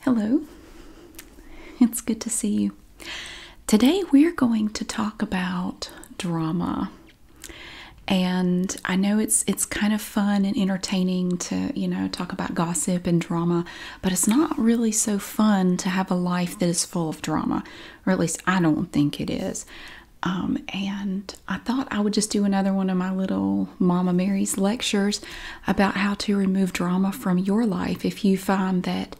Hello, it's good to see you. Today we're going to talk about drama. And I know it's it's kind of fun and entertaining to, you know, talk about gossip and drama, but it's not really so fun to have a life that is full of drama, or at least I don't think it is. Um, and I thought I would just do another one of my little Mama Mary's lectures about how to remove drama from your life if you find that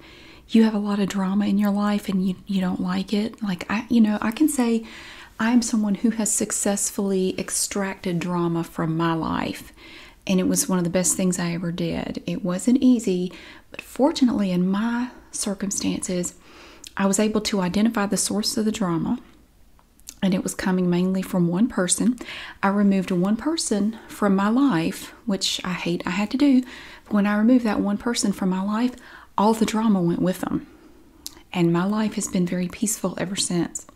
you have a lot of drama in your life and you, you don't like it. Like, I, you know, I can say I am someone who has successfully extracted drama from my life. And it was one of the best things I ever did. It wasn't easy, but fortunately, in my circumstances, I was able to identify the source of the drama and it was coming mainly from one person. I removed one person from my life, which I hate I had to do. when I removed that one person from my life, all the drama went with them. And my life has been very peaceful ever since.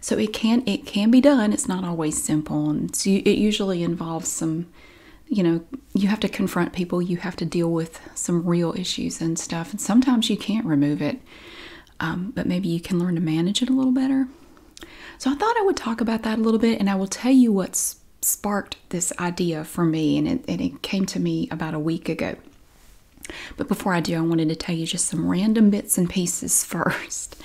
So it can it can be done. It's not always simple, and it usually involves some, you know, you have to confront people. You have to deal with some real issues and stuff. And sometimes you can't remove it. Um, but maybe you can learn to manage it a little better. So I thought I would talk about that a little bit, and I will tell you what sparked this idea for me, and it, came to me about a week ago. But before I do, I wanted to tell you just some random bits and pieces first.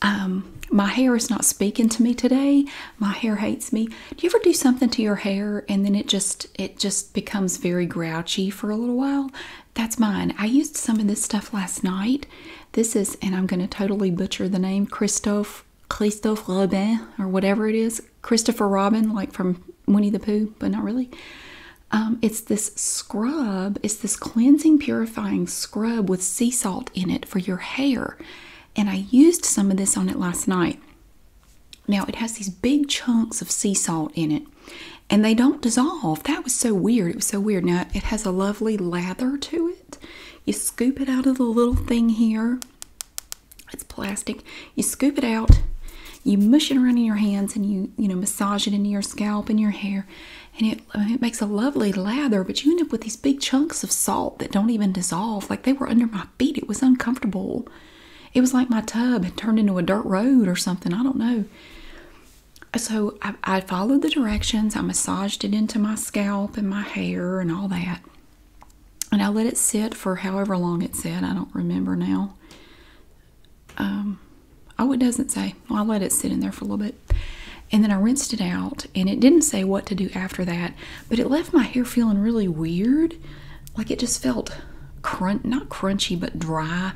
Um, my hair is not speaking to me today. My hair hates me. Do you ever do something to your hair and then it just it just becomes very grouchy for a little while? That's mine. I used some of this stuff last night. This is, and I'm going to totally butcher the name, Christophe, Christophe Robin, or whatever it is. Christopher Robin, like from Winnie the Pooh, but not really. Um, it's this scrub. It's this cleansing, purifying scrub with sea salt in it for your hair. And I used some of this on it last night. Now, it has these big chunks of sea salt in it and they don't dissolve. That was so weird. It was so weird. Now it has a lovely lather to it. You scoop it out of the little thing here. It's plastic. You scoop it out. You mush it around in your hands and you you know massage it into your scalp and your hair, and it it makes a lovely lather. But you end up with these big chunks of salt that don't even dissolve. Like they were under my feet. It was uncomfortable. It was like my tub had turned into a dirt road or something. I don't know so I, followed the directions. I massaged it into my scalp and my hair and all that. And I let it sit for however long it said. I don't remember now. Um, oh, it doesn't say. Well, I let it sit in there for a little bit. And then I rinsed it out. And it didn't say what to do after that. But it left my hair feeling really weird. Like it just felt crunch, not crunchy, but dry.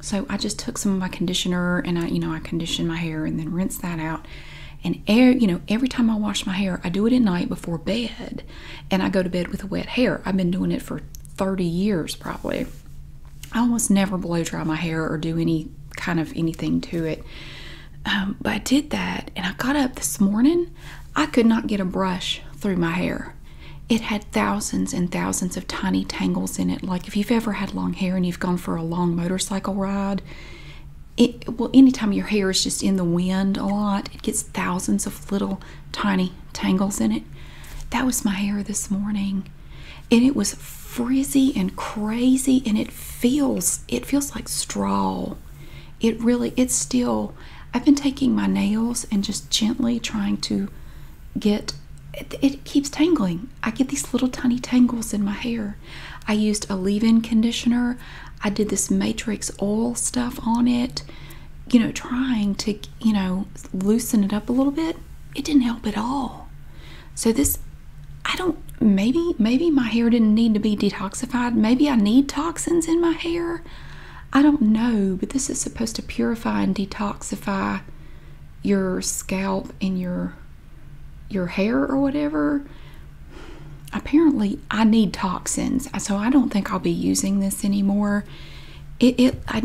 So I just took some of my conditioner and I, you know, I conditioned my hair and then rinsed that out. And air, you know, every time I wash my hair, I do it at night before bed, and I go to bed with wet hair. I've been doing it for 30 years probably. I almost never blow dry my hair or do any kind of anything to it. Um, but I did that, and I got up this morning. I could not get a brush through my hair. It had thousands and thousands of tiny tangles in it, like if you've ever had long hair and you've gone for a long motorcycle ride, it well, anytime your hair is just in the wind a lot, it gets thousands of little tiny tangles in it. That was my hair this morning, and it was frizzy and crazy, and it feels it feels like straw. It really, it's still. I've been taking my nails and just gently trying to get it, keeps tangling. I get these little tiny tangles in my hair. I used a leave-in conditioner. I did this matrix oil stuff on it, you know, trying to, you know, loosen it up a little bit. It didn't help at all. So this, I don't, maybe, maybe my hair didn't need to be detoxified. Maybe I need toxins in my hair. I don't know, but this is supposed to purify and detoxify your scalp and your your hair or whatever. Apparently, I need toxins, so I don't think I'll be using this anymore. It, I,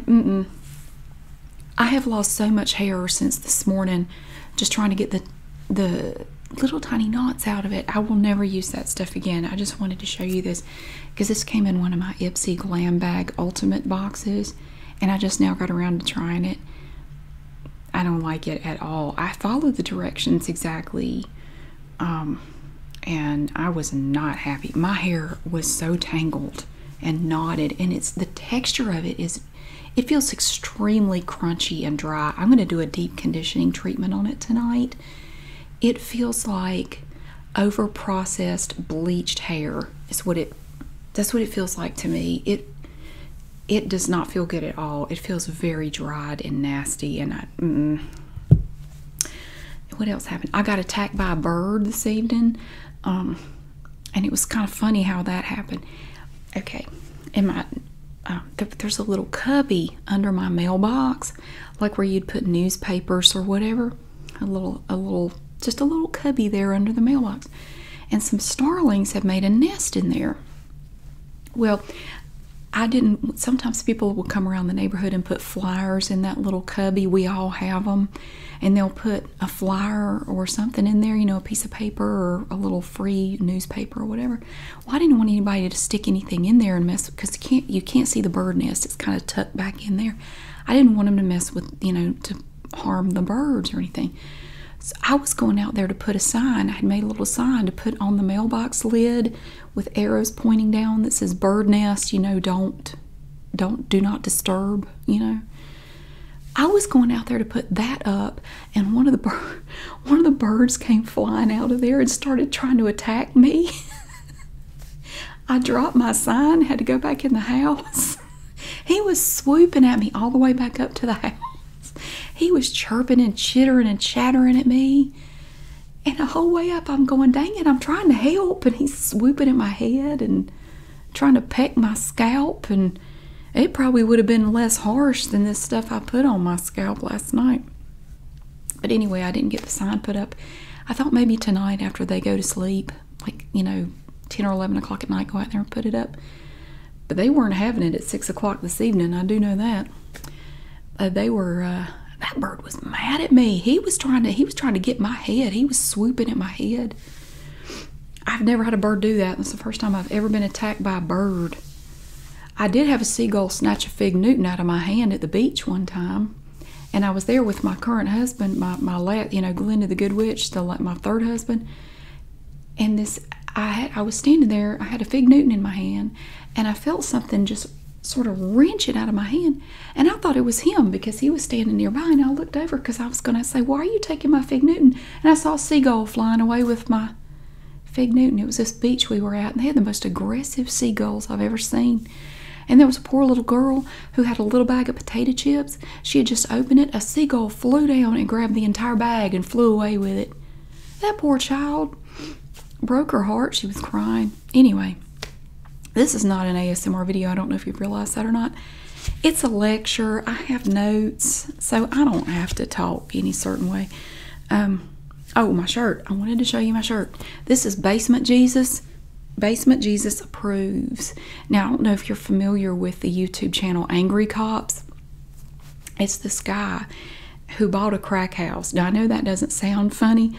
I have lost so much hair since this morning, just trying to get the the little tiny knots out of it. I will never use that stuff again. I just wanted to show you this because this came in one of my Ipsy Glam Bag Ultimate boxes and I just now got around to trying it. I don't like it at all. I followed the directions exactly, um, and I was not happy. My hair was so tangled and knotted, and it's the texture of it is it feels extremely crunchy and dry. I'm going to do a deep conditioning treatment on it tonight. It feels like over processed bleached hair, is what it that's what it feels like to me. It it does not feel good at all. It feels very dried and nasty and I mm, what else happened? I got attacked by a bird this evening. Um and it was kind of funny how that happened. Okay. In my uh, there's a little cubby under my mailbox like where you'd put newspapers or whatever. A little a little just a little cubby there under the mailbox and some starlings have made a nest in there well i didn't sometimes people will come around the neighborhood and put flyers in that little cubby we all have them and they'll put a flyer or something in there you know a piece of paper or a little free newspaper or whatever well i didn't want anybody to stick anything in there and mess because you can't you can't see the bird nest it's kind of tucked back in there i didn't want them to mess with you know to harm the birds or anything. I was going out there to put a sign. I had made a little sign to put on the mailbox lid with arrows pointing down that says bird nest, you know, don't don't do not disturb, you know. I was going out there to put that up and one of the bird, one of the birds came flying out of there and started trying to attack me. I dropped my sign, had to go back in the house. He was swooping at me all the way back up to the house. He was chirping and chittering and chattering at me. And the whole way up, I'm going, dang it, I'm trying to help. And he's swooping at my head and trying to peck my scalp. And it probably would have been less harsh than this stuff I put on my scalp last night. But anyway, I didn't get the sign put up. I thought maybe tonight after they go to sleep, like, you know, 10 or 11 o'clock at night, go out there and put it up. But they weren't having it at six o'clock this evening. I do know that. Uh, they were. Uh, that bird was mad at me. He was trying to. He was trying to get my head. He was swooping at my head. I've never had a bird do that. That's the first time I've ever been attacked by a bird. I did have a seagull snatch a fig Newton out of my hand at the beach one time, and I was there with my current husband, my my last, you know, Glenda the Good Witch, the my third husband, and this I I was standing there. I had a fig Newton in my hand, and I felt something just sort of wrench it out of my hand. And I thought it was him because he was standing nearby. And I looked over because I was going to say, "Why are you taking my fig Newton?" And I saw a seagull flying away with my fig Newton. It was this beach we were at, and they had the most aggressive seagulls I've ever seen. And there was a poor little girl who had a little bag of potato chips she had just opened it, a seagull flew down and grabbed the entire bag and flew away with it. That poor child broke her heart. She was crying. Anyway, this is not an ASMR video. I don't know if you've realized that or not. It's a lecture. I have notes, so I don't have to talk any certain way. Um, oh, my shirt. I wanted to show you my shirt. This is Basement Jesus. Basement Jesus Approves. Now, I don't know if you're familiar with the YouTube channel Angry Cops. It's this guy who bought a crack house. Now I know that doesn't sound funny.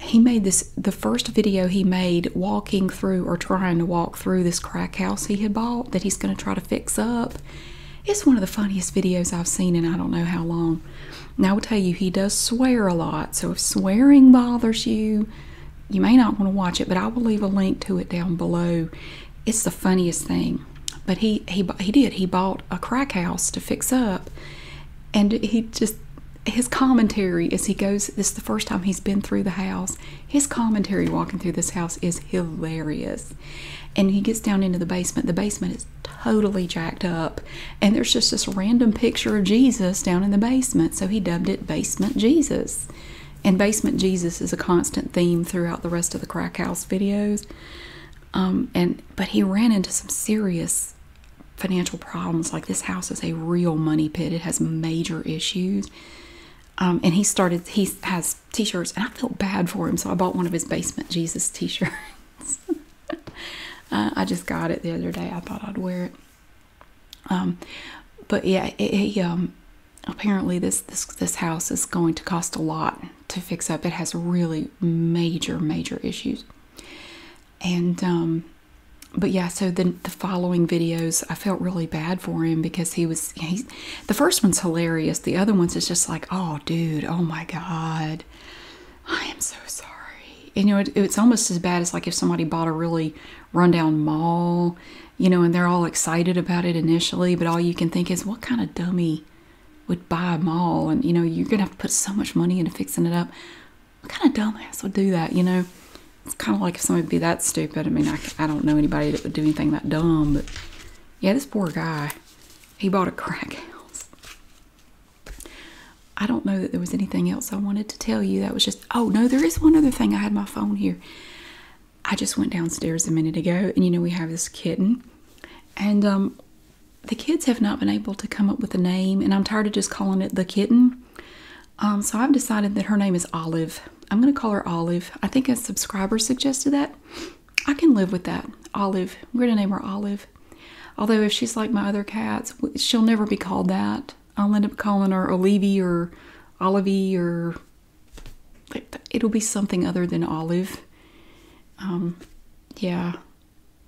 He made this the first video he made walking through or trying to walk through this crack house he had bought that he's going to try to fix up. It's one of the funniest videos I've seen and I don't know how long. Now I will tell you he does swear a lot, so if swearing bothers you, you may not want to watch it, but I will leave a link to it down below. It's the funniest thing. But he he he did. He bought a crack house to fix up, and he just his commentary as he goes. This is the first time he's been through the house. His commentary walking through this house is hilarious, and he gets down into the basement. The basement is totally jacked up, and there's just this random picture of Jesus down in the basement. So he dubbed it Basement Jesus and basement Jesus is a constant theme throughout the rest of the crack house videos. Um, and but he ran into some serious financial problems. Like this house is a real money pit. It has major issues. Um, and he started. He has T-shirts, and I felt bad for him, so I bought one of his basement Jesus T-shirts. Uh, I just got it the other day. I thought I'd wear it. Um, but yeah, he apparently this this this house is going to cost a lot to fix up. It has really major major issues. And um but yeah, so then the following videos, I felt really bad for him because he was he's the first one's hilarious. The other ones is just like, oh dude, oh my god, I am so sorry. you know, it's almost as bad as like if somebody bought a really rundown mall you know, and they're all excited about it initially, but all you can think is, what kind of dummy would buy a mall? And, you know, you're going to have to put so much money into fixing it up. What kind of dumbass would do that, you know? It's kind of like if somebody would be that stupid. I mean, I, I don't know anybody that would do anything that dumb, but yeah, this poor guy, he bought a crack house. I don't know that there was anything else I wanted to tell you. That was just, oh, no, there is one other thing. I had my phone here. I just went downstairs a minute ago, and you know, we have this kitten, and um, the kids have not been able to come up with a name, and I'm tired of just calling it the kitten. Um, so I've decided that her name is Olive. I'm going to call her Olive. I think a subscriber suggested that. I can live with that. Olive. We're going to name her Olive. Although, if she's like my other cats, she'll never be called that. I'll end up calling her Olivi or Olivie or it'll be something other than olive. Um, yeah.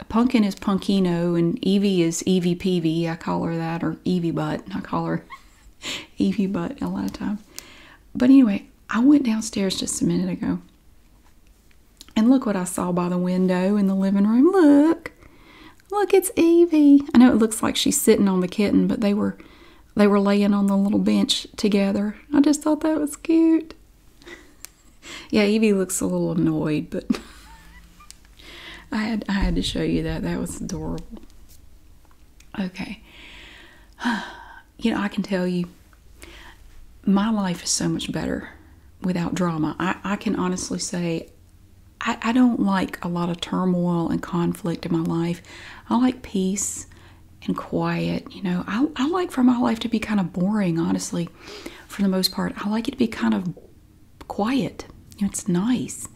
Pumpkin is Punkino and Evie is Evie Peavy. I call her that, or Evie Butt. I call her Evie Butt a lot of time. But anyway, I went downstairs just a minute ago. And look what I saw by the window in the living room. Look. Look, it's Evie. I know it looks like she's sitting on the kitten, but they were they were laying on the little bench together. I just thought that was cute. yeah, Evie looks a little annoyed, but I had I had to show you that. That was adorable. Okay. You know, I can tell you my life is so much better without drama. I, I can honestly say I, I don't like a lot of turmoil and conflict in my life. I like peace and quiet. You know, I, like for my life to be kind of boring, honestly, for the most part. I like it to be kind of quiet. it's nice.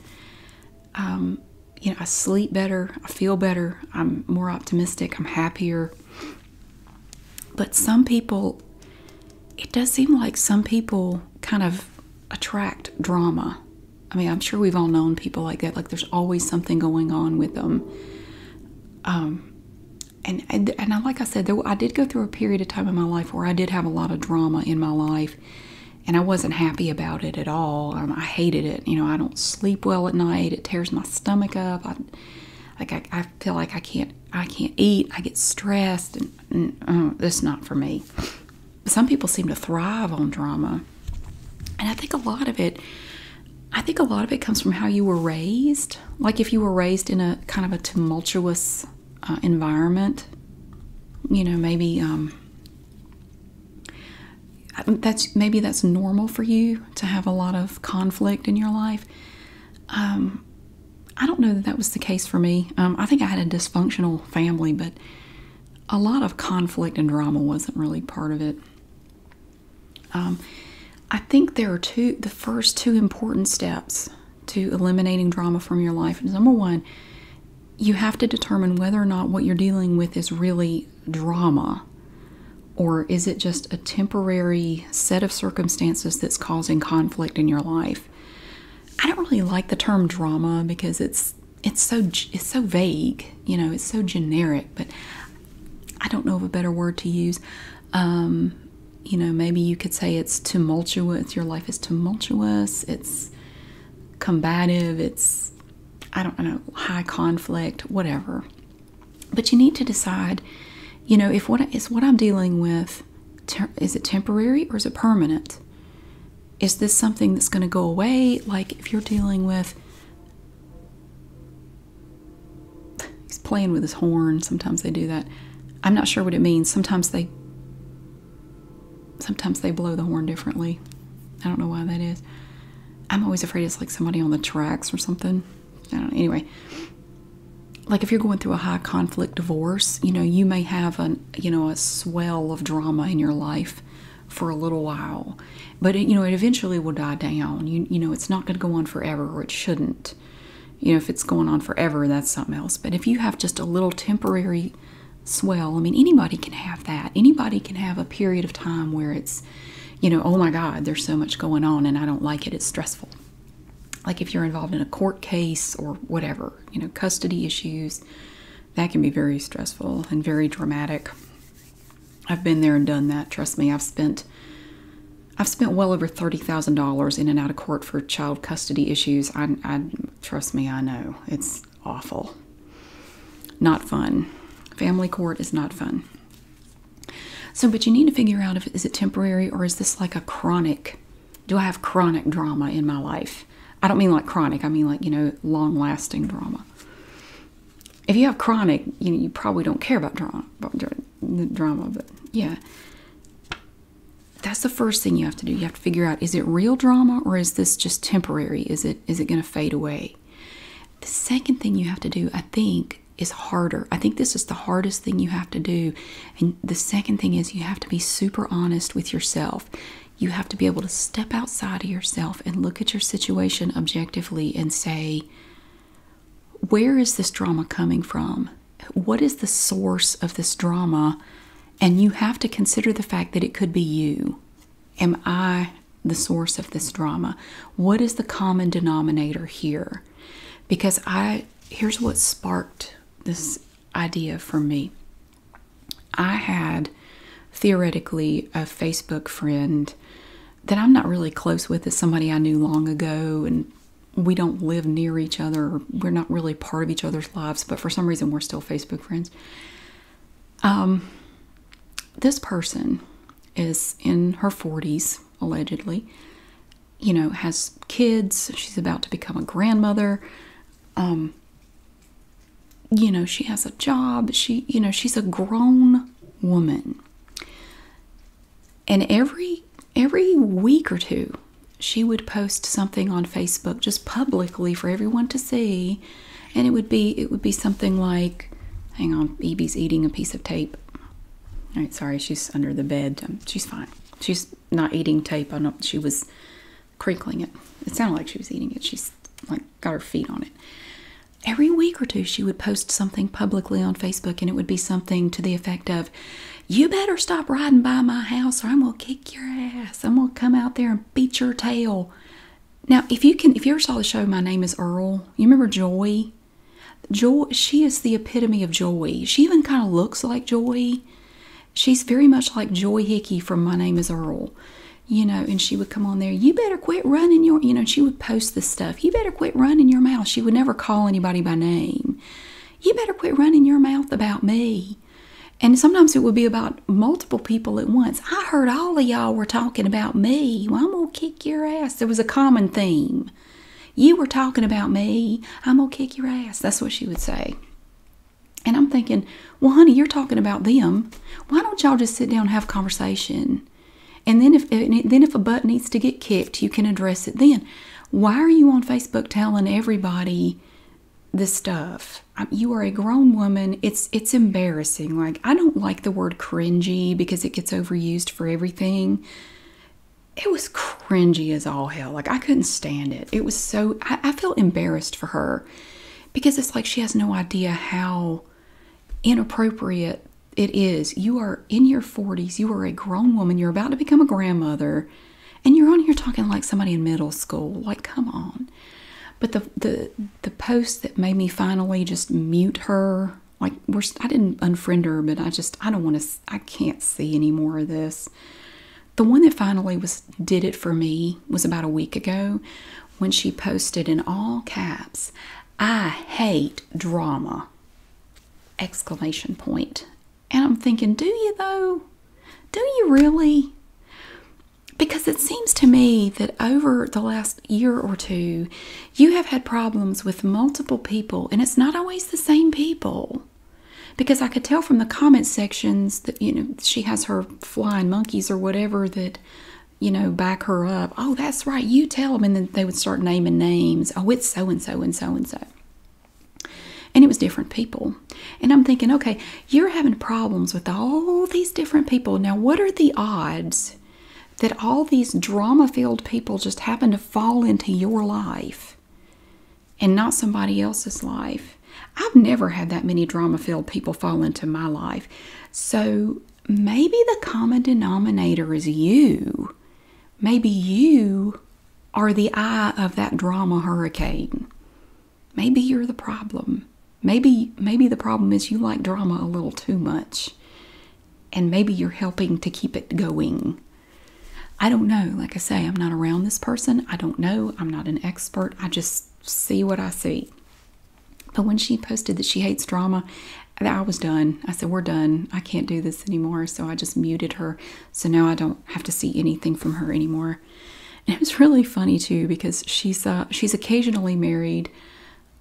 Um, you know, I sleep better, I feel better, I'm more optimistic, I'm happier. But some people, it does seem like some people kind of attract drama I mean, I'm sure we've all known people like that. Like, there's always something going on with them. Um, and and, and I, like I said, I did go through a period of time in my life where I did have a lot of drama in my life, and I wasn't happy about it at all. Um, I hated it. You know, I don't sleep well at night. It tears my stomach up. I, like I, I feel like I can't I can't eat. I get stressed, and, this uh, not for me. Some people seem to thrive on drama. And I think a lot of it, I think a lot of it comes from how you were raised. Like if you were raised in a kind of a tumultuous uh, environment, you know, maybe um, that's maybe that's normal for you to have a lot of conflict in your life. Um, I don't know that that was the case for me. Um, I think I had a dysfunctional family, but a lot of conflict and drama wasn't really part of it. Um, I think there are two, the first two important steps to eliminating drama from your life. Number one, you have to determine whether or not what you're dealing with is really drama or is it just a temporary set of circumstances that's causing conflict in your life. I don't really like the term drama because it's it's so it's so vague, you know, it's so generic, but I don't know of a better word to use. Um, you know, maybe you could say it's tumultuous. Your life is tumultuous. It's combative. It's, I don't know, high conflict, whatever. But you need to decide, you know, if what is what I'm dealing with, is it temporary or is it permanent? Is this something that's going to go away? Like if you're dealing with He's playing with his horn. Sometimes they do that. I'm not sure what it means. Sometimes they sometimes they blow the horn differently. I don't know why that is. I'm always afraid it's like somebody on the tracks or something. Anyway, like if you're going through a high conflict divorce, you know, you may have a you know a swell of drama in your life for a little while, but you know it eventually will die down. you know it's not going to go on forever, or it shouldn't. You know if it's going on forever, that's something else. But if you have just a little temporary swell, I mean anybody can have that. Anybody can have a period of time where it's, you know, oh my God, there's so much going on, and I don't like it. It's stressful. Like if you're involved in a court case or whatever, you know, custody issues, that can be very stressful and very dramatic. I've been there and done that. Trust me, I've spent I've spent well over thirty thousand dollars in and out of court for child custody issues. I, I trust me, I know it's awful. Not fun. Family court is not fun. So, but you need to figure out if is it temporary or is this like a chronic? Do I have chronic drama in my life? I don't mean like chronic. I mean like you know long-lasting drama if you have chronic, you know, you probably don't care about drama, but yeah. That's the first thing you have to do. You have to figure out is it real drama or is this just temporary? Is it is it going to fade away? The second thing you have to do, I think, is harder. I think this is the hardest thing you have to do. And the second thing is you have to be super honest with yourself. You have to be able to step outside of yourself and look at your situation objectively and say, where is this drama coming from? What is the source of this drama? And you have to consider the fact that it could be you. Am I the source of this drama? What is the common denominator here? Because I, here's what sparked this idea for me. I had theoretically a Facebook friend that I'm not really close with is somebody I knew long ago, and we don't live near each other, we're not really part of each other's lives, but for some reason we're still Facebook friends. Um, this person is in her 40s, allegedly, you know, has kids, she's about to become a grandmother. Um, you know, she has a job, she, you know, she's a grown woman and every every week or two she would post something on Facebook just publicly for everyone to see and it would be it would be something like hang on Evie's eating a piece of tape all right sorry she's under the bed um, she's fine she's not eating tape I know she was crinkling it it sounded like she was eating it she's like got her feet on it. Every week or two, she would post something publicly on Facebook, and it would be something to the effect of, You better stop riding by my house, or I'm going to kick your ass. I'm going to come out there and beat your tail. Now, if you can, if you ever saw the show My Name is Earl, you remember Joy? Joy, she is the epitome of Joy. She even kind of looks like Joy. She's very much like Joy Hickey from My Name is Earl. You know, and she would come on there, You better quit running your, you know, she would post this stuff. You better quit running your mouth. She would never call anybody by name. You better quit running your mouth about me. And sometimes it would be about multiple people at once. I heard all of y'all were talking about me. Well, I'm going to kick your ass. There was a common theme. You were talking about me. I'm going to kick your ass. That's what she would say. And I'm thinking, well, honey, you're talking about them. Why don't y'all just sit down and have conversation? And then if then if a butt needs to get kicked, you can address it then. Why are you on Facebook telling everybody the stuff? you are a grown woman. It's it's embarrassing. Like I don't like the word cringy because it gets overused for everything. It was cringy as all hell. Like I couldn't stand it. It was so I felt embarrassed for her because it's like she has no idea how inappropriate it is. You are in your 40s, you are a grown woman, you're about to become a grandmother, and you're on here talking like somebody in middle school. Like, come on. But the the the post that made me finally just mute her, like we're I didn't unfriend her, but I just I don't want to I can't see any more of this. The one that finally was did it for me was about a week ago when she posted in all caps, I hate drama exclamation point and i'm thinking do you though do you really because it seems to me that over the last year or two you have had problems with multiple people and it's not always the same people because i could tell from the comment sections that you know she has her flying monkeys or whatever that you know, back her up. Oh, that's right. You tell them. And then they would start naming names. Oh, it's so and so and so and so. And it was different people. And I'm thinking, okay, you're having problems with all these different people. Now, what are the odds that all these drama filled people just happen to fall into your life and not somebody else's life? I've never had that many drama filled people fall into my life. So maybe the common denominator is you. Maybe you are the eye of that drama hurricane. Maybe you're the problem. Maybe maybe the problem is you like drama a little too much. And maybe you're helping to keep it going. I don't know. Like I say, I'm not around this person. I don't know. I'm not an expert. I just see what I see. But when she posted that she hates drama I was done. I said, We're done. I can't do this anymore. So I just muted her. So now I don't have to see anything from her anymore. And it was really funny too because she's uh, she's occasionally married.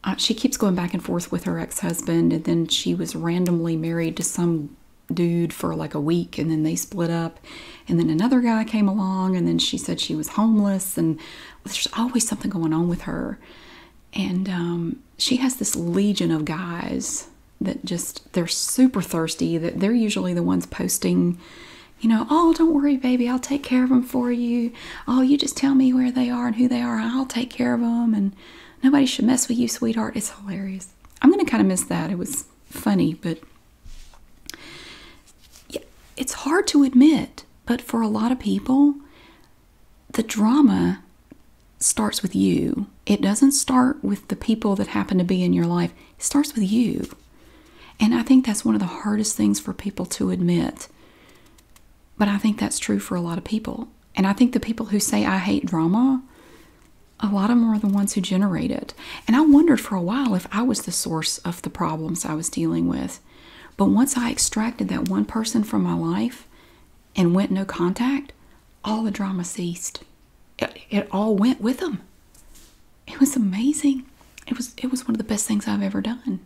Uh, she keeps going back and forth with her ex husband, and then she was randomly married to some dude for like a week, and then they split up. And then another guy came along, and then she said she was homeless, and there's always something going on with her and um, she has this legion of guys that just they're super thirsty that they're usually the ones posting you know oh don't worry baby i'll take care of them for you oh you just tell me where they are and who they are i'll take care of them and nobody should mess with you sweetheart it's hilarious i'm gonna kind of miss that it was funny but yeah, it's hard to admit but for a lot of people the drama starts with you. It doesn't start with the people that happen to be in your life. It starts with you. And I think that's one of the hardest things for people to admit. But I think that's true for a lot of people. And I think the people who say, I hate drama, a lot of them are the ones who generate it. And I wondered for a while if I was the source of the problems I was dealing with. But once I extracted that one person from my life, and went no contact, all the drama ceased. It, all went with him. It was amazing. It was it was one of the best things I've ever done.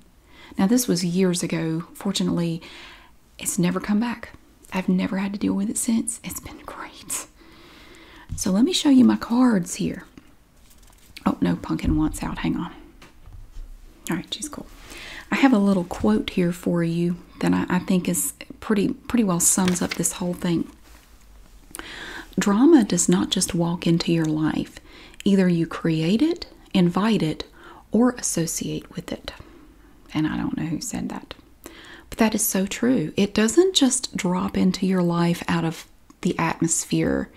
Now this was years ago. Fortunately, it's never come back. I've never had to deal with it since. It's been great. So let me show you my cards here. Oh no, pumpkin wants out. Hang on. All right, she's cool. I have a little quote here for you that I, think is pretty pretty well sums up this whole thing. Drama does not just walk into your life. Either you create it, invite it, or associate with it. And I don't know who said that. But that is so true. It doesn't just drop into your life out of the atmosphere.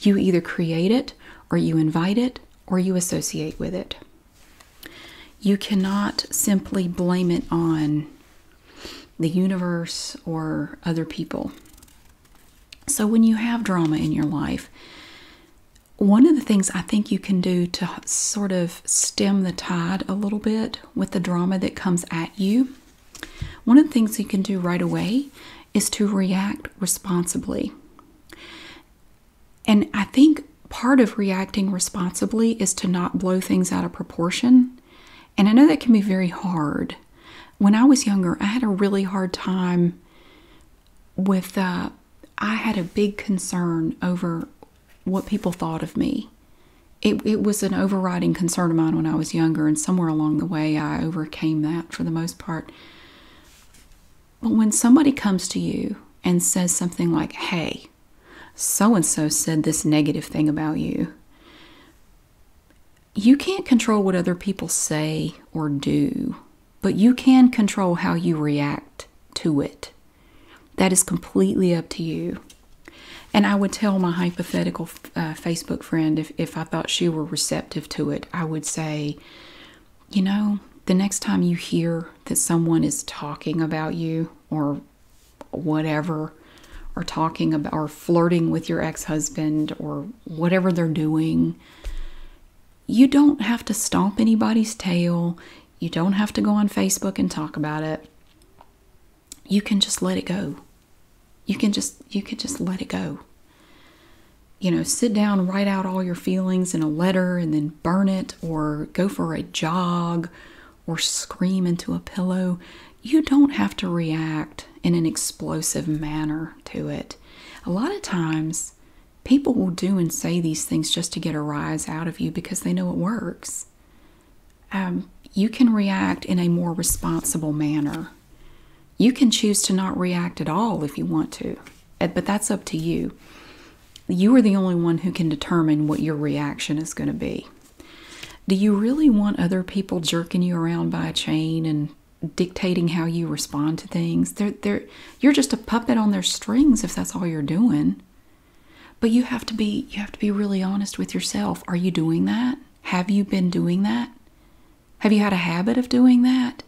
You either create it, or you invite it, or you associate with it. You cannot simply blame it on the universe or other people. So, when you have drama in your life, one of the things I think you can do to sort of stem the tide a little bit with the drama that comes at you, one of the things you can do right away is to react responsibly. And I think part of reacting responsibly is to not blow things out of proportion. And I know that can be very hard. When I was younger, I had a really hard time with, uh, I had a big concern over what people thought of me. it was an overriding concern of mine when I was younger, and somewhere along the way, I overcame that for the most part. But when somebody comes to you and says something like, hey, so and so said this negative thing about you, you can't control what other people say or do, but you can control how you react to it. That is completely up to you. And I would tell my hypothetical uh, Facebook friend if, if I thought she were receptive to it, I would say, you know, the next time you hear that someone is talking about you or whatever, or talking about or flirting with your ex husband or whatever they're doing, you don't have to stomp anybody's tail. You don't have to go on Facebook and talk about it. You can just let it go. You can just you can just let it go. You know, sit down, write out all your feelings in a letter and then burn it or go for a jog or scream into a pillow, you don't have to react in an explosive manner to it. A lot of times, people will do and say these things just to get a rise out of you because they know it works. Um, you can react in a more responsible manner. You can choose to not react at all if you want to, but that's up to you you are the only one who can determine what your reaction is going to be. Do you really want other people jerking you around by a chain and dictating how you respond to things? you're just a puppet on their strings if that's all you're doing. But you have to be you have to be really honest with yourself. Are you doing that? Have you been doing that? Have you had a habit of doing that?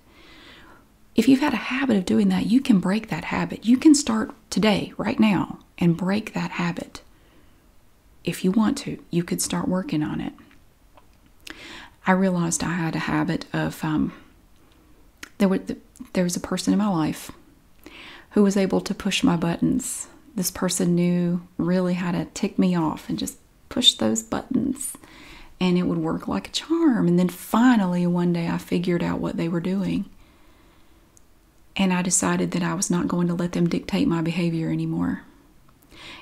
if you've had a habit of doing that, you can break that habit. You can start today, right now, and break that habit. If you want to, you could start working on it. I realized I had a habit of um, there, were, there was a person in my life who was able to push my buttons. This person knew really how to tick me off and just push those buttons, and it would work like a charm. And then finally, one day, I figured out what they were doing and I decided that I was not going to let them dictate my behavior anymore.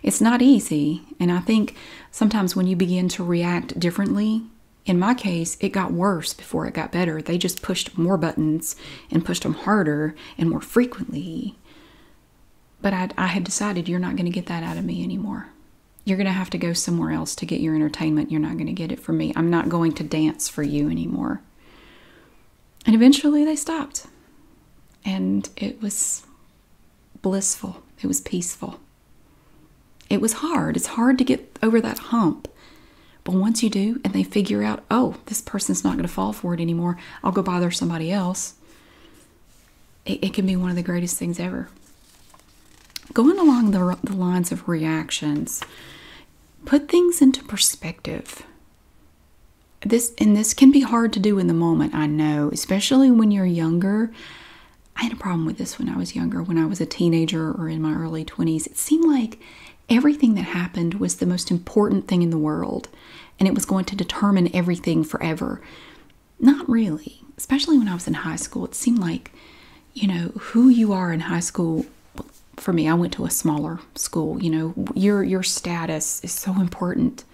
It's not easy, and I think sometimes when you begin to react differently, in my case, it got worse before it got better. They just pushed more buttons and pushed them harder and more frequently. But I, had decided you're not going to get that out of me anymore. You're going to have to go somewhere else to get your entertainment. You're not going to get it from me. I'm not going to dance for you anymore. And eventually they stopped. And it was blissful, it was peaceful. It was hard. It's hard to get over that hump. But once you do, and they figure out, oh, this person's not going to fall for it anymore, I'll go bother somebody else, it, it can be one of the greatest things ever going along the, lines of reactions, put things into perspective. This and this can be hard to do in the moment, I know, especially when you're younger. I had a problem with this when I was younger, when I was a teenager or in my early 20s. It seemed like everything that happened was the most important thing in the world and it was going to determine everything forever. Not really, especially when I was in high school. It seemed like you know who you are in high school for me i went to a smaller school you know your your status is so important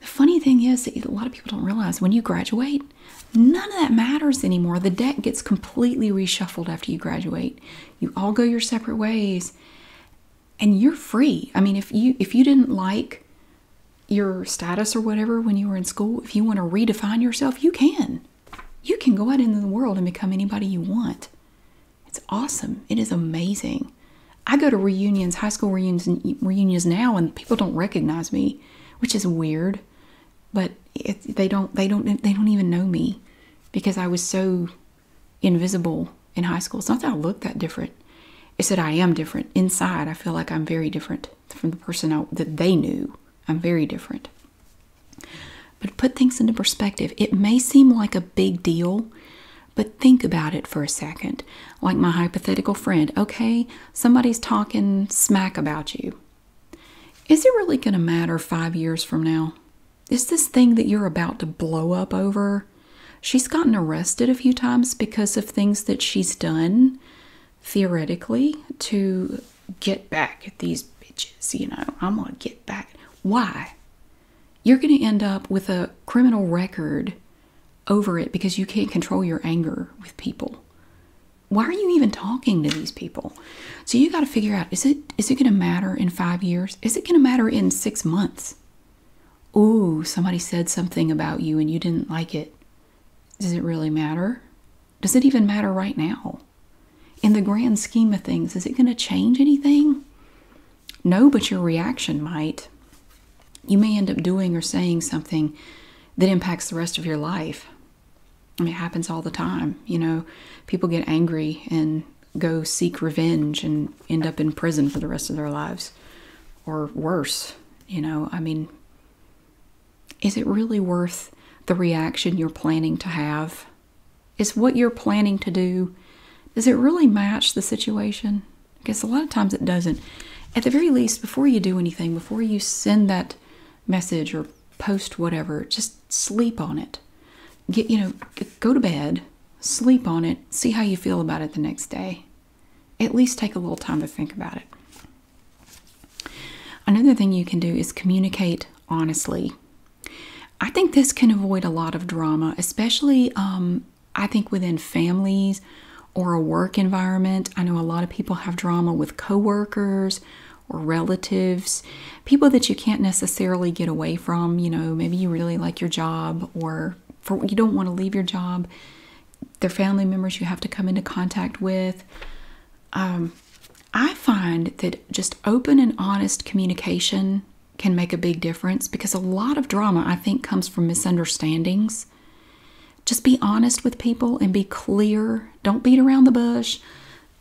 the funny thing is that a lot of people don't realize when you graduate none of that matters anymore the deck gets completely reshuffled after you graduate you all go your separate ways and you're free i mean if you if you didn't like your status or whatever when you were in school if you want to redefine yourself you can you can go out into the world and become anybody you want. It's awesome. It is amazing. I go to reunions, high school reunions, reunions now, and people don't recognize me, which is weird. But they don't, they don't, they don't even know me because I was so invisible in high school. It's not that I look that different. It's that I am different inside. I feel like I'm very different from the person that they knew. I'm very different. But put things into perspective. It may seem like a big deal, but think about it for a second. Like my hypothetical friend, okay, somebody's talking smack about you. Is it really going to matter five years from now? Is this thing that you're about to blow up over? She's gotten arrested a few times because of things that she's done, theoretically, to get back at these bitches, you know. I'm going to get back. Why? You're going to end up with a criminal record over it because you can't control your anger with people. Why are you even talking to these people? So you got to figure out is it is it going to matter in 5 years? Is it going to matter in 6 months? Ooh, somebody said something about you and you didn't like it. Does it really matter? Does it even matter right now? in the grand scheme of things, is it going to change anything? No, but your reaction might. You may end up doing or saying something that impacts the rest of your life. I mean, it happens all the time. You know, people get angry and go seek revenge and end up in prison for the rest of their lives or worse. You know, I mean, is it really worth the reaction you're planning to have is what you're planning to do, does it really match the situation? I guess a lot of times it doesn't. At the very least, before you do anything, before you send that message or post whatever, just sleep on it. Get, you know, go to bed, sleep on it, see how you feel about it the next day. At least take a little time to think about it. Another thing you can do is communicate honestly. I think this can avoid a lot of drama, especially um, I think within families or a work environment. I know a lot of people have drama with coworkers or relatives, people that you can't necessarily get away from. You know, maybe you really like your job or you don't want to leave your job. They're family members you have to come into contact with. Um, I find that just open and honest communication can make a big difference because a lot of drama, I think, comes from misunderstandings. Just be honest with people and be clear. Don't beat around the bush.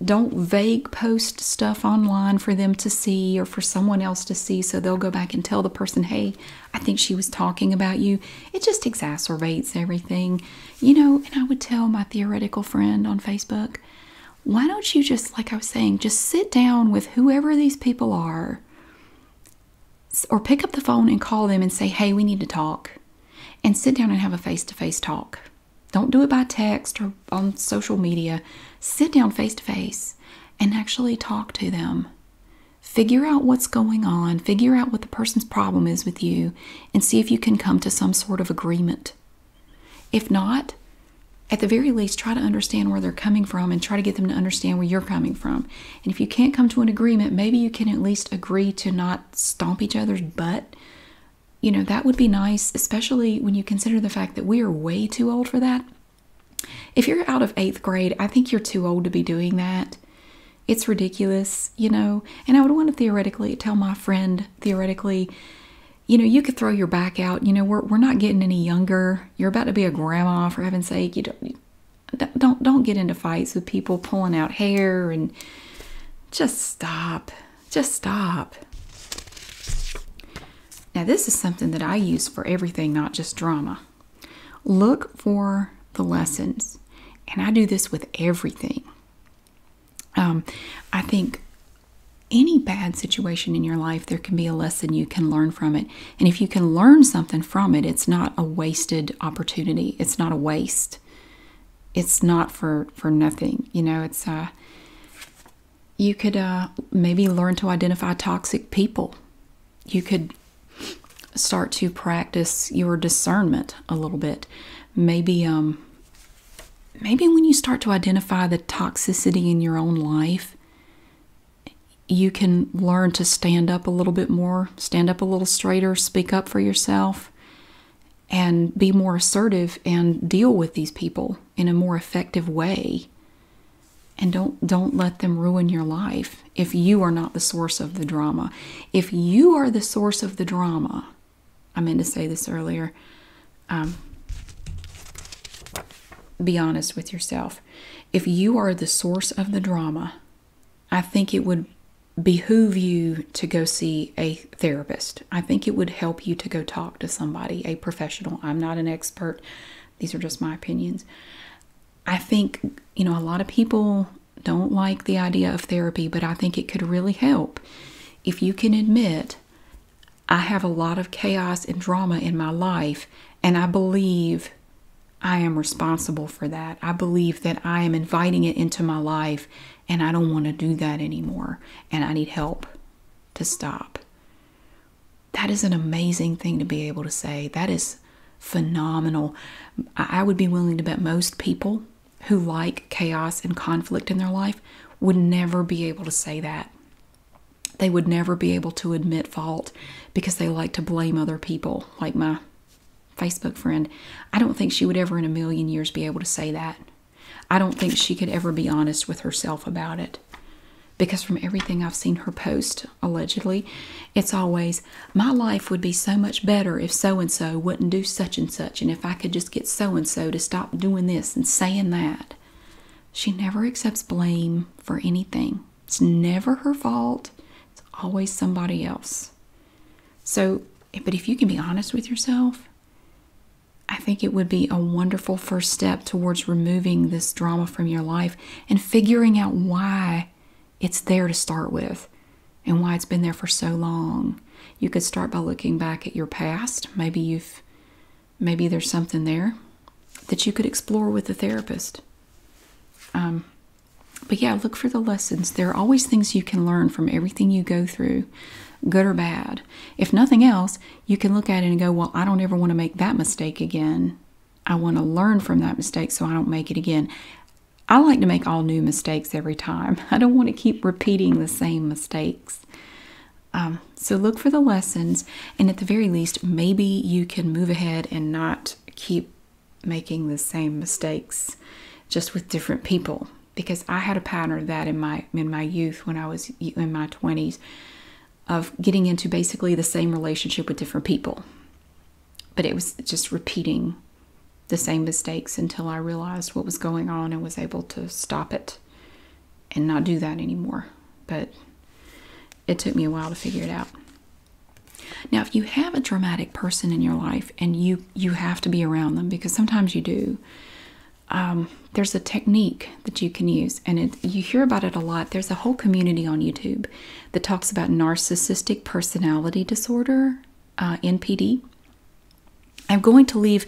Don't vague post stuff online for them to see or for someone else to see so they'll go back and tell the person, hey, I think she was talking about you. It just exacerbates everything. You know, and I would tell my theoretical friend on Facebook, why don't you just, like I was saying, just sit down with whoever these people are or pick up the phone and call them and say, hey, we need to talk. And sit down and have a face to face talk. Don't do it by text or on social media. Sit down face to face and actually talk to them. Figure out what's going on, figure out what the person's problem is with you, and see if you can come to some sort of agreement if not, at the very least, try to understand where they're coming from and try to get them to understand where you're coming from. And if you can't come to an agreement, maybe you can at least agree to not stomp each other's butt. You know, that would be nice, especially when you consider the fact that we are way too old for that. If you're out of eighth grade, I think you're too old to be doing that. It's ridiculous, you know. And I would want to theoretically tell my friend, theoretically, you know, you could throw your back out. You know, we're we're not getting any younger. You're about to be a grandma, for heaven's sake. You don't don't don't get into fights with people pulling out hair and just stop. Just stop. Now, this is something that I use for everything, not just drama. Look for the lessons. And I do this with everything. Um, I think any bad situation in your life, there can be a lesson you can learn from it. And if you can learn something from it, it's not a wasted opportunity. It's not a waste. It's not for for nothing. You know, it's uh you could uh, maybe learn to identify toxic people. You could start to practice your discernment a little bit. Maybe um, maybe when you start to identify the toxicity in your own life, you can learn to stand up a little bit more, stand up a little straighter, speak up for yourself, and be more assertive and deal with these people in a more effective way. And don't don't let them ruin your life if you are not the source of the drama. If you are the source of the drama, I meant to say this earlier. Um, be honest with yourself. If you are the source of the drama, I think it would behoove you to go see a therapist. I think it would help you to go talk to somebody, a professional. I'm not an expert, these are just my opinions. I think, you know, a lot of people don't like the idea of therapy, but I think it could really help if you can admit I have a lot of chaos and drama in my life, and I believe I am responsible for that. I believe that I am inviting it into my life, and I don't want to do that anymore, and I need help to stop. That is an amazing thing to be able to say. That is phenomenal. I would be willing to bet most people who like chaos and conflict in their life would never be able to say that. They would never be able to admit fault because they like to blame other people, like my Facebook friend. I don't think she would ever in a million years be able to say that. I don't think she could ever be honest with herself about it. Because from everything I've seen her post, allegedly, it's always, my life would be so much better if so and so wouldn't do such and such, and if I could just get so and so to stop doing this and saying that. She never accepts blame for anything. It's never her fault. It's always somebody else. So, eh, but if you can be honest with yourself, I think it would be a wonderful first step towards removing this drama from your life and figuring out why it's there to start with and why it's been there for so long. You could start by looking back at your past. Maybe you've maybe there's something there that you could explore with a therapist. Um, but yeah, look for the lessons. There are always things you can learn from everything you go through, good or bad. If nothing else, you can look at it and go, Well, I don't ever want to make that mistake again. I want to learn from that mistake so I don't make it again. I like to make all new mistakes every time. I don't want to keep repeating the same mistakes. Um, so look for the lessons, and at the very least, maybe you can move ahead and not keep making the same mistakes just with different people because I had a pattern of that in my in my youth when I was in my 20s of getting into basically the same relationship with different people. But it was just repeating the same mistakes until I realized what was going on and was able to stop it and not do that anymore. But it took me a while to figure it out. Now, if you have a dramatic person in your life and you you have to be around them because sometimes you do, um, there's a technique that you can use, and you hear about it a lot. There's a whole community on YouTube that talks about narcissistic personality disorder, uh, NPD, I'm going to leave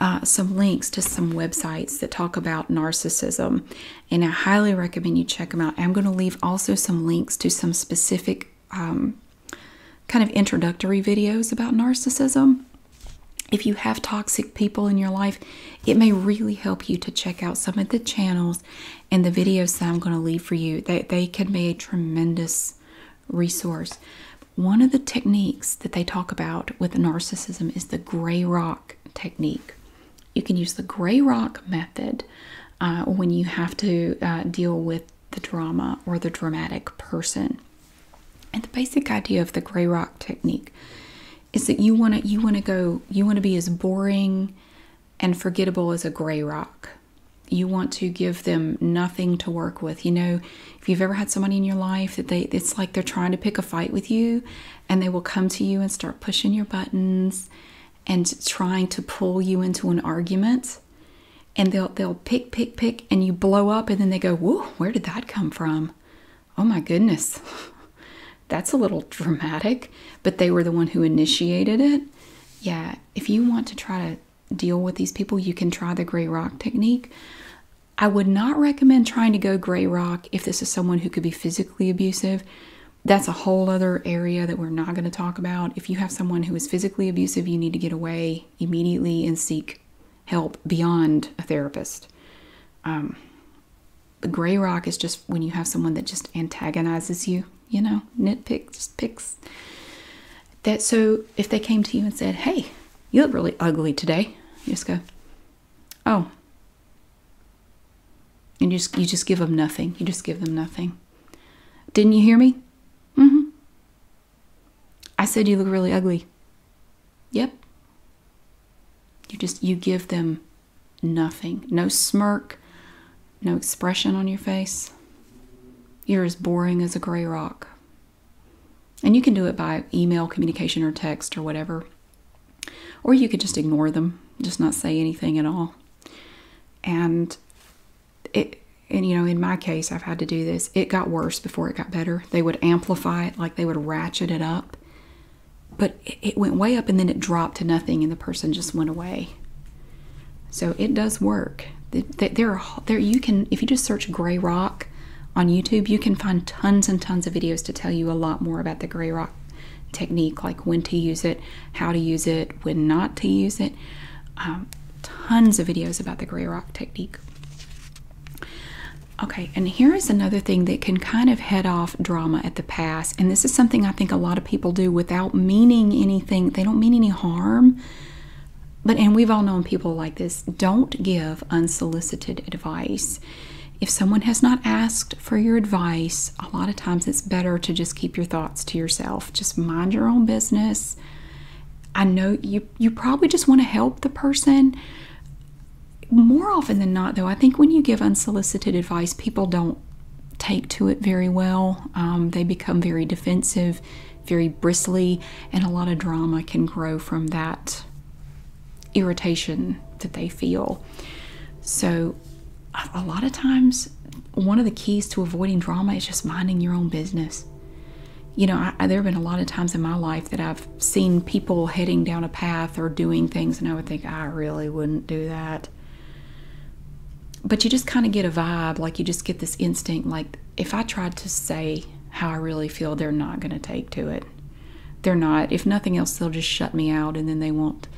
uh, some links to some websites that talk about narcissism, and I highly recommend you check them out. I'm going to leave also some links to some specific um, kind of introductory videos about narcissism. If you have toxic people in your life, it may really help you to check out some of the channels and the videos that I'm going to leave for you. That they can be a tremendous resource. One of the techniques that they talk about with narcissism is the gray rock technique. You can use the gray rock method uh, when you have to uh, deal with the drama or the dramatic person. And the basic idea of the gray rock technique is that you want to you want to go you want to be as boring and forgettable as a gray rock. You want to give them nothing to work with. You know, if you've ever had somebody in your life that they it's like they're trying to pick a fight with you and they will come to you and start pushing your buttons and trying to pull you into an argument and they'll they'll pick pick pick and you blow up and then they go whoa where did that come from oh my goodness that's a little dramatic but they were the one who initiated it yeah if you want to try to deal with these people you can try the gray rock technique I would not recommend trying to go gray rock if this is someone who could be physically abusive. That's a whole other area that we're not going to talk about. If you have someone who is physically abusive, you need to get away immediately and seek help beyond a therapist. Um, the gray rock is just when you have someone that just antagonizes you, you know, nitpicks, picks. That so if they came to you and said, "Hey, you look really ugly today," you just go, Oh. And just, you just give them nothing. You just give them nothing. Didn't you hear me? Mm-hmm. I said you look really ugly. Yep. You just, you give them nothing. No smirk, no expression on your face. You're as boring as a gray rock. And you can do it by email communication or text or whatever. Or you could just ignore them, just not say anything at all. And it and you know, in my case, I've had to do this. It got worse before it got better. They would amplify it, like they would ratchet it up. But it went way up and then it dropped to nothing and the person just went away. So it does work. There, there, you can, if you just search gray rock on YouTube, you can find tons and tons of videos to tell you a lot more about the gray rock technique, like when to use it, how to use it, when not to use it. Um, tons of videos about the gray rock technique. Okay, and here is another thing that can kind of head off drama at the pass. And this is something I think a lot of people do without meaning anything. They don't mean any harm. But, and we've all known people like this, don't give unsolicited advice. If someone has not asked for your advice, a lot of times it's better to just keep your thoughts to yourself. Just mind your own business. I know you you probably just want to help the person. More often than not, though, I think when you give unsolicited advice, people don't take to it very well. Um, they become very defensive, very bristly, and a lot of drama can grow from that irritation that they feel. So, a lot of times, one of the keys to avoiding drama is just minding your own business. You know, I, there have been a lot of times in my life that I've seen people heading down a path or doing things, and I would think, I really wouldn't do that. But you just kind of get a vibe, like you just get this instinct, like if I tried to say how I really feel, they're not going to take to it they're not. If nothing else, they'll just shut me out, and then they won't.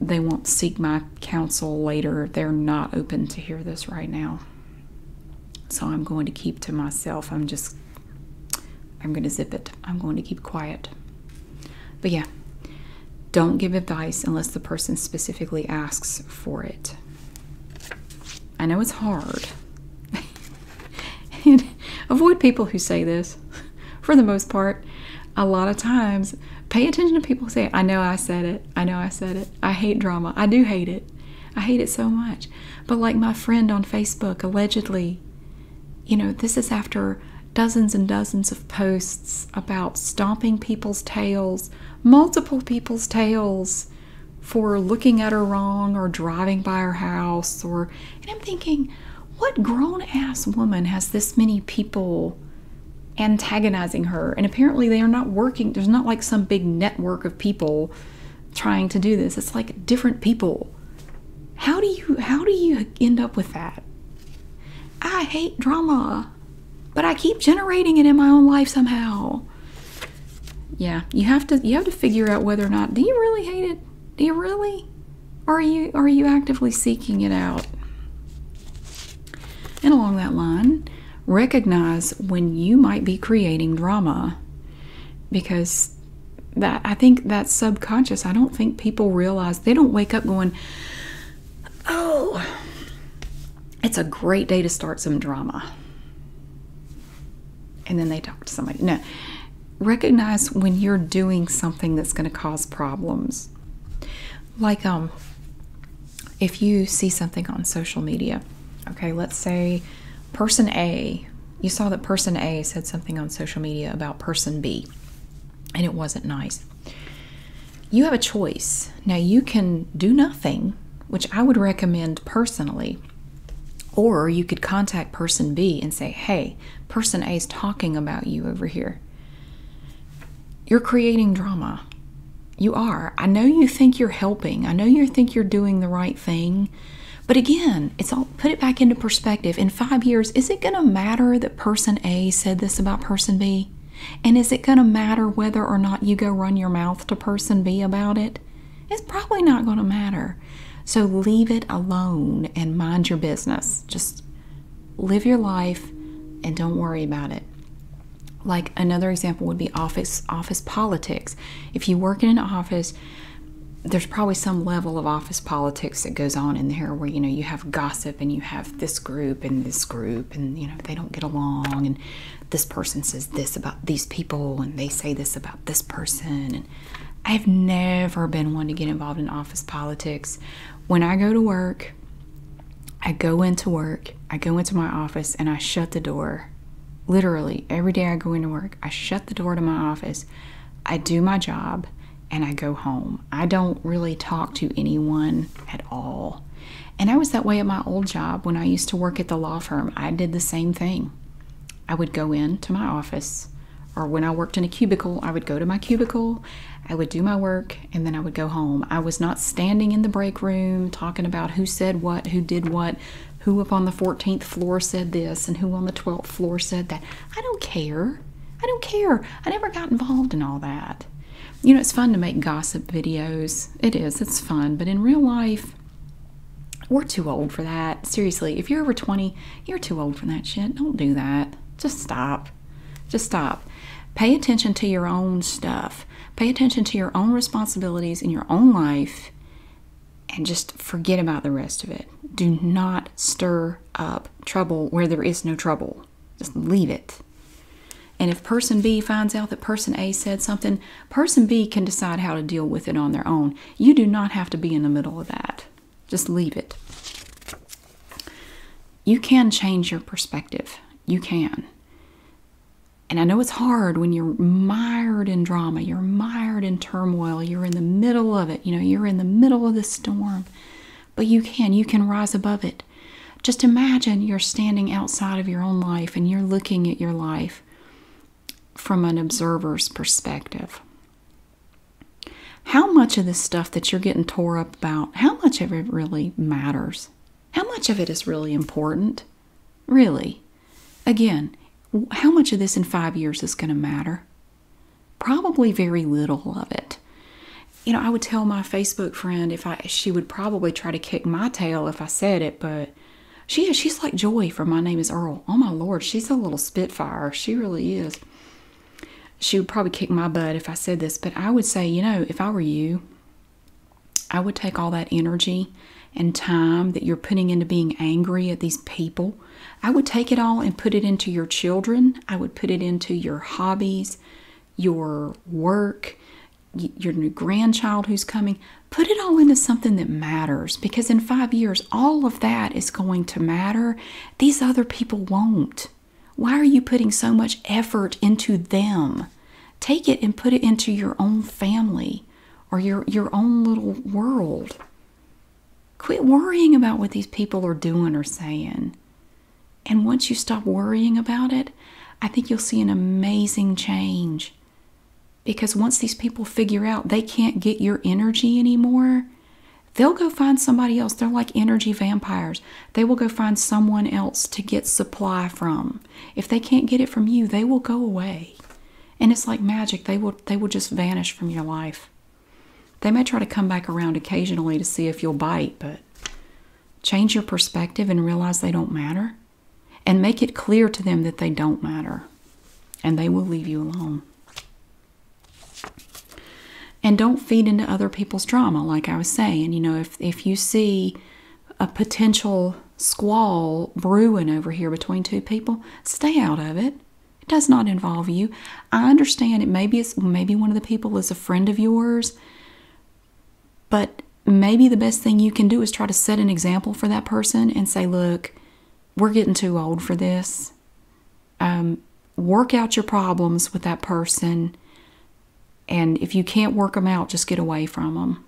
They won't seek my counsel later. They're not open to hear this right now. So I'm going to keep to myself. I'm just. I'm going to zip it. I'm going to keep quiet. But yeah, don't give advice unless the person specifically asks for it. I know it's hard. avoid people who say this for the most part. A lot of times, pay attention to people who say, I know I said it. I know I said it. I hate drama. I do hate it. I hate it so much. But like my friend on Facebook, allegedly, you know, this is after dozens and dozens of posts about stomping people's tails, multiple people's tails for looking at her wrong or driving by her house or and I'm thinking, what grown ass woman has this many people antagonizing her? And apparently they are not working. There's not like some big network of people trying to do this. It's like different people. How do you how do you end up with that? I hate drama, but I keep generating it in my own life somehow. Yeah, you have to you have to figure out whether or not do you really hate it? Do you really? are you are you actively seeking it out? And along that line, recognize when you might be creating drama because that I think that subconscious. I don't think people realize they don't wake up going, "Oh, it's a great day to start some drama." and then they talk to somebody. No. Recognize when you're doing something that's going to cause problems. Like um if you see something on social media, okay, let's say person A, you saw that person A said something on social media about person B and it wasn't nice. You have a choice. Now you can do nothing, which I would recommend personally. Or you could contact person B and say, hey, person A is talking about you over here. You're creating drama. You are. I know you think you're helping. I know you think you're doing the right thing. But again, it's all put it back into perspective. In five years, is it going to matter that person A said this about person B? And is it going to matter whether or not you go run your mouth to person B about it? it's probably not going to matter. So leave it alone and mind your business. Just live your life and don't worry about it. Like another example would be office office politics. If you work in an office, there's probably some level of office politics that goes on in there where you know you have gossip and you have this group and this group and you know they don't get along and this person says this about these people and they say this about this person and I've never been one to get involved in office politics. When I go to work, I go into work, I go into my office, and I shut the door. Literally, every day I go into work, I shut the door to my office, I do my job, and I go home. I don't really talk to anyone at all. And I was that way at my old job when I used to work at the law firm. I did the same thing. I would go into my office, or when I worked in a cubicle, I would go to my cubicle, I would do my work, and then I would go home. I was not standing in the break room talking about who said what, who did what, who up on the 14th floor said this, and who on the 12th floor said that. I don't care. I don't care. I never got involved in all that. You know, it's fun to make gossip videos. It is, it's fun. But in real life, we're too old for that. Seriously, if you're over 20, you're too old for that shit. Don't do that. Just stop. Just stop. Pay attention to your own stuff. Pay attention to your own responsibilities in your own life and just forget about the rest of it. Do not stir up trouble where there is no trouble. Just leave it. And if person B finds out that person A said something, person B can decide how to deal with it on their own. You do not have to be in the middle of that. Just leave it. You can change your perspective. You can. And I know it's hard when you're mired in drama, you're mired in turmoil, you're in the middle of it, you know, you're in the middle of the storm. But you can, you can rise above it. Just imagine you're standing outside of your own life and you're looking at your life from an observer's perspective. How much of this stuff that you're getting tore up about, how much of it really matters? How much of it is really important? Really? Again, how much of this in five years is going to matter? Probably very little of it. You know, I would tell my Facebook friend if I, she would probably try to kick my tail if I said it, but she is, she's like Joy for My Name is Earl. Oh my Lord, she's a little spitfire. She really is. She would probably kick my butt if I said this, but I would say, you know, if I were you, I would take all that energy and time that you're putting into being angry at these people. I would take it all and put it into your children. I would put it into your hobbies, your work, your new grandchild who's coming. Put it all into something that matters because in five years, all of that is going to matter these other people won't. Why are you putting so much effort into them? Take it and put it into your own family or your, your own little world. Quit worrying about what these people are doing or saying. And once you stop worrying about it, I think you'll see an amazing change. Because once these people figure out they can't get your energy anymore, they'll go find somebody else. They're like energy vampires. They will go find someone else to get supply from. If they can't get it from you, they will go away. And it's like magic. They will they will just vanish from your life. They may try to come back around occasionally to see if you'll bite, but change your perspective and realize they don't matter and make it clear to them that they don't matter and they will leave you alone and don't feed into other people's drama like i was saying you know if if you see a potential squall brewing over here between two people stay out of it it does not involve you i understand it maybe it's maybe one of the people is a friend of yours but maybe the best thing you can do is try to set an example for that person and say look we're getting too old for this um, work out your problems with that person. And if you can't work them out, just get away from them.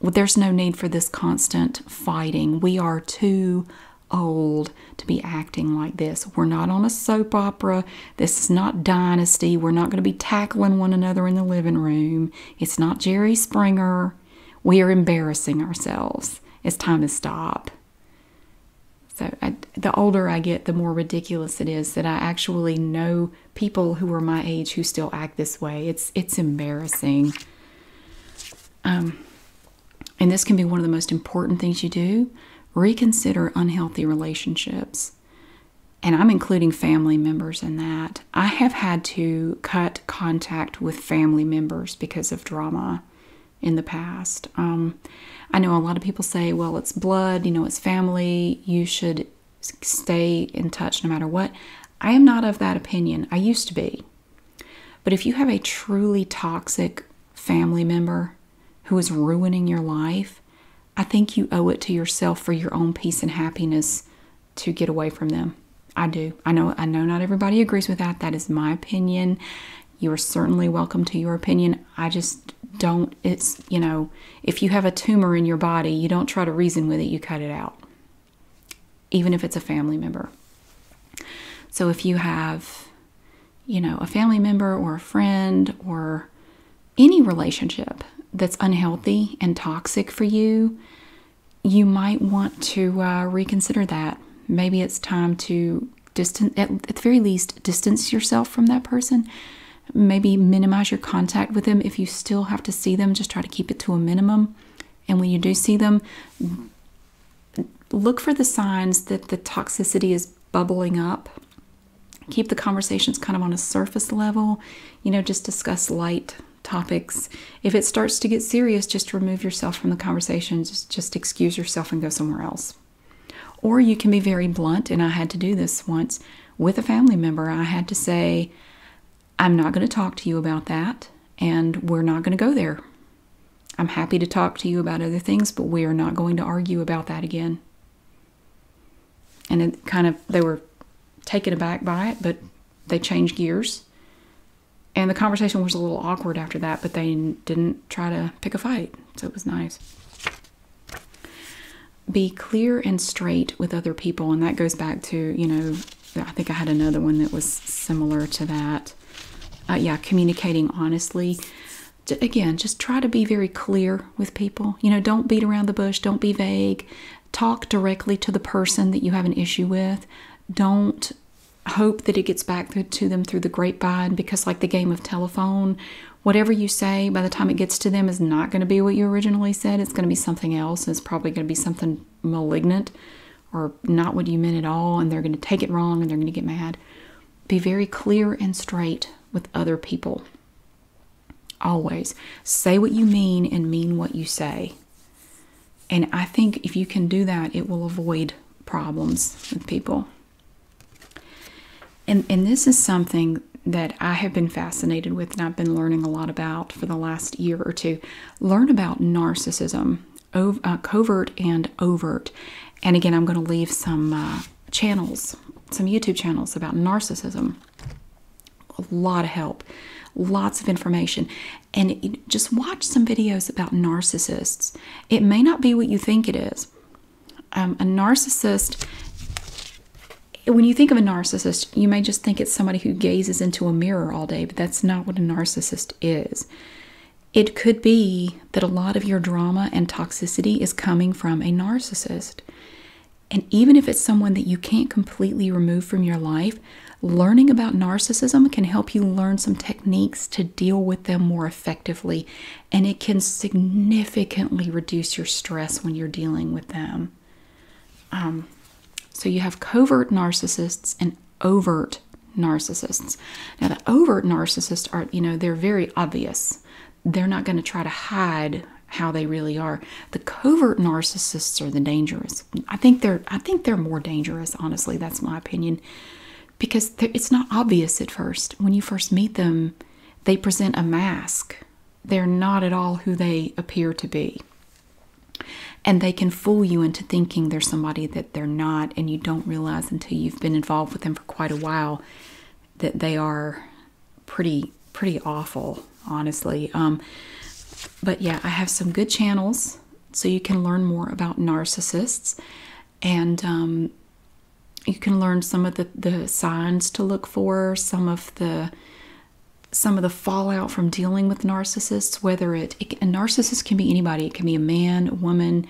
there's no need for this constant fighting. We are too old to be acting like this. We're not on a soap opera. This is not Dynasty. We're not going to be tackling one another in the living room. It's not Jerry Springer. We are embarrassing ourselves. It's time to stop. So the older I get, the more ridiculous it is that I actually know people who are my age who still act this way. It's it's embarrassing. Um, and this can be one of the most important things you do. Reconsider unhealthy relationships. And I'm including family members in that. I have had to cut contact with family members because of drama in the past. Um, I know a lot of people say, well, it's blood, you know, it's family, you should stay in touch no matter what. I am not of that opinion. I used to be. But if you have a truly toxic family member who is ruining your life, I think you owe it to yourself for your own peace and happiness to get away from them. I do. I know I know not everybody agrees with that. That is my opinion. You are certainly welcome to your opinion. I just don't, it's, you know, if you have a tumor in your body, you don't try to reason with it, you cut it out, even if it's a family member. So if you have, you know, a family member or a friend or any relationship that's unhealthy and toxic for you, you might want to uh, reconsider that. Maybe it's time to distance at, at the very least distance yourself from that person maybe minimize your contact with them if you still have to see them just try to keep it to a minimum and when you do see them look for the signs that the toxicity is bubbling up keep the conversations kind of on a surface level you know just discuss light topics if it starts to get serious just remove yourself from the conversation just excuse yourself and go somewhere else. Or you can be very blunt, and I had to do this once with a family member. I had to say, I'm not going to talk to you about that, and we're not going to go there. I'm happy to talk to you about other things, but we are not going to argue about that again. And it kind of, they were taken aback by it, but they changed gears and the conversation was a little awkward after that, but they didn't try to pick a fight, so it was nice. Be clear and straight with other people, and that goes back to, you know, I think I had another one that was similar to that. Uh, yeah, communicating honestly. Again, just try to be very clear with people. You know, don't beat around the bush, don't be vague. Talk directly to the person that you have an issue with. Don't hope that it gets back to them through the grapevine because, like the game of telephone, whatever you say by the time it gets to them is not going to be what you originally said. It's going to be something else. It's probably going to be something malignant or not what you meant at all, and they're going to take it wrong and they're going to get mad. Be very clear and straight with other people. Always say what you mean and mean what you say. And I think if you can do that, it will avoid problems with people. And, and this is something that I have been fascinated with and I've been learning a lot about for the last year or two. Learn about narcissism, uh, covert and overt. And again, I'm going to leave some uh, channels, some YouTube channels about narcissism. A lot of help, lots of information. And just watch some videos about narcissists it may not be what you think it is. Um, a narcissist, when you think of a narcissist, you may just think it's somebody who gazes into a mirror all day, but that's not what a narcissist is. It could be that a lot of your drama and toxicity is coming from a narcissist. And even if it's someone that you can't completely remove from your life, learning about narcissism can help you learn some techniques to deal with them more effectively and it can significantly reduce your stress when you're dealing with them. Um, so you have covert narcissists and overt narcissists. Now the overt narcissists are, you know, they're very obvious. They're not going to try to hide how they really are. The covert narcissists are the dangerous. I think they're I think they're more dangerous, honestly. That's my opinion because it's not obvious at first. When you first meet them, they present a mask. They're not at all who they appear to be. And they can fool you into thinking they're somebody that they're not, and you don't realize until you've been involved with them for quite a while that they are pretty pretty awful, honestly. Um, but yeah, I have some good channels so you can learn more about narcissists and um, you can learn some of the, the signs to look for, some of the some of the fallout from dealing with narcissists. Whether it, a narcissist can be anybody, it can be a man, a woman,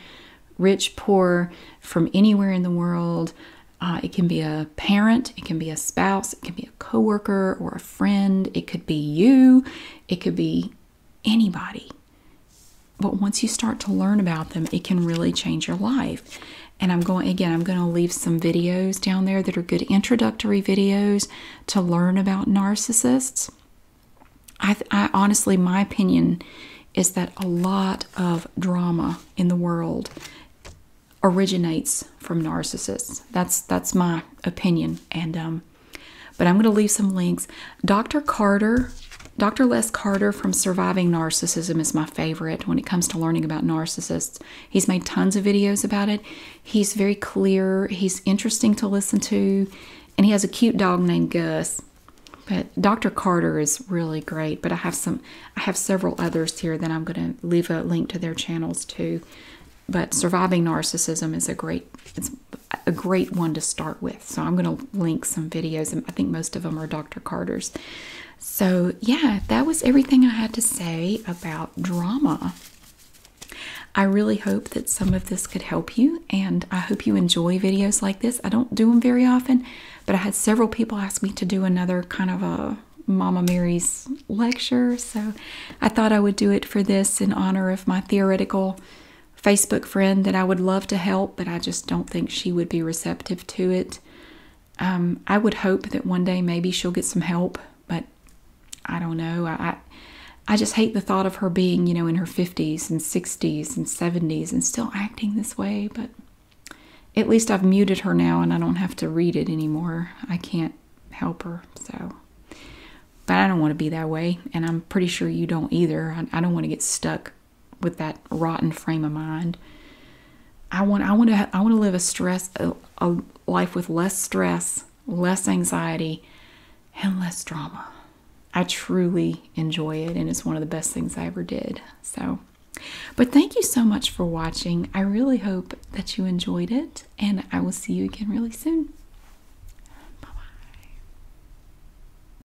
rich, poor, from anywhere in the world. Uh, it can be a parent, it can be a spouse, it can be a coworker or a friend. It could be you, it could be anybody. But once you start to learn about them, it can really change your life. And I'm going again, I'm going to leave some videos down there that are good introductory videos to learn about narcissists. I, honestly, my opinion is that a lot of drama in the world originates from narcissists. That's that's my opinion. And um, but I'm going to leave some links. Dr. Carter, Dr. Les Carter from Surviving Narcissism is my favorite when it comes to learning about narcissists. He's made tons of videos about it. He's very clear, he's interesting to listen to, and he has a cute dog named Gus. But Dr. Carter is really great, but I have some I have several others here that I'm going to leave a link to their channels too. But Surviving Narcissism is a great a great one to start with. So I'm going to link some videos, and I think most of them are Dr. Carter's. So, yeah, that was everything I had to say about drama. I really hope that some of this could help you, and I hope you enjoy videos like this. I don't do them very often, but I had several people ask me to do another kind of a Mama Mary's lecture, so I thought I would do it for this in honor of my theoretical Facebook friend that I would love to help, but I just don't think she would be receptive to it. Um, I would hope that one day maybe she'll get some help, but I don't know. I, I just hate the thought of her being, you know, in her 50s and 60s and 70s and still acting this way, but at least I've muted her now and I don't have to read it anymore. I can't help her, so. But I don't want to be that way, and I'm pretty sure you don't either. I don't want to get stuck with that rotten frame of mind. I want I want to I want to live a stress a, life with less stress, less anxiety, and less drama. I truly enjoy it and it's one of the best things I ever did. So but thank you so much for watching. I really hope that you enjoyed it and I will see you again really soon. Bye-bye.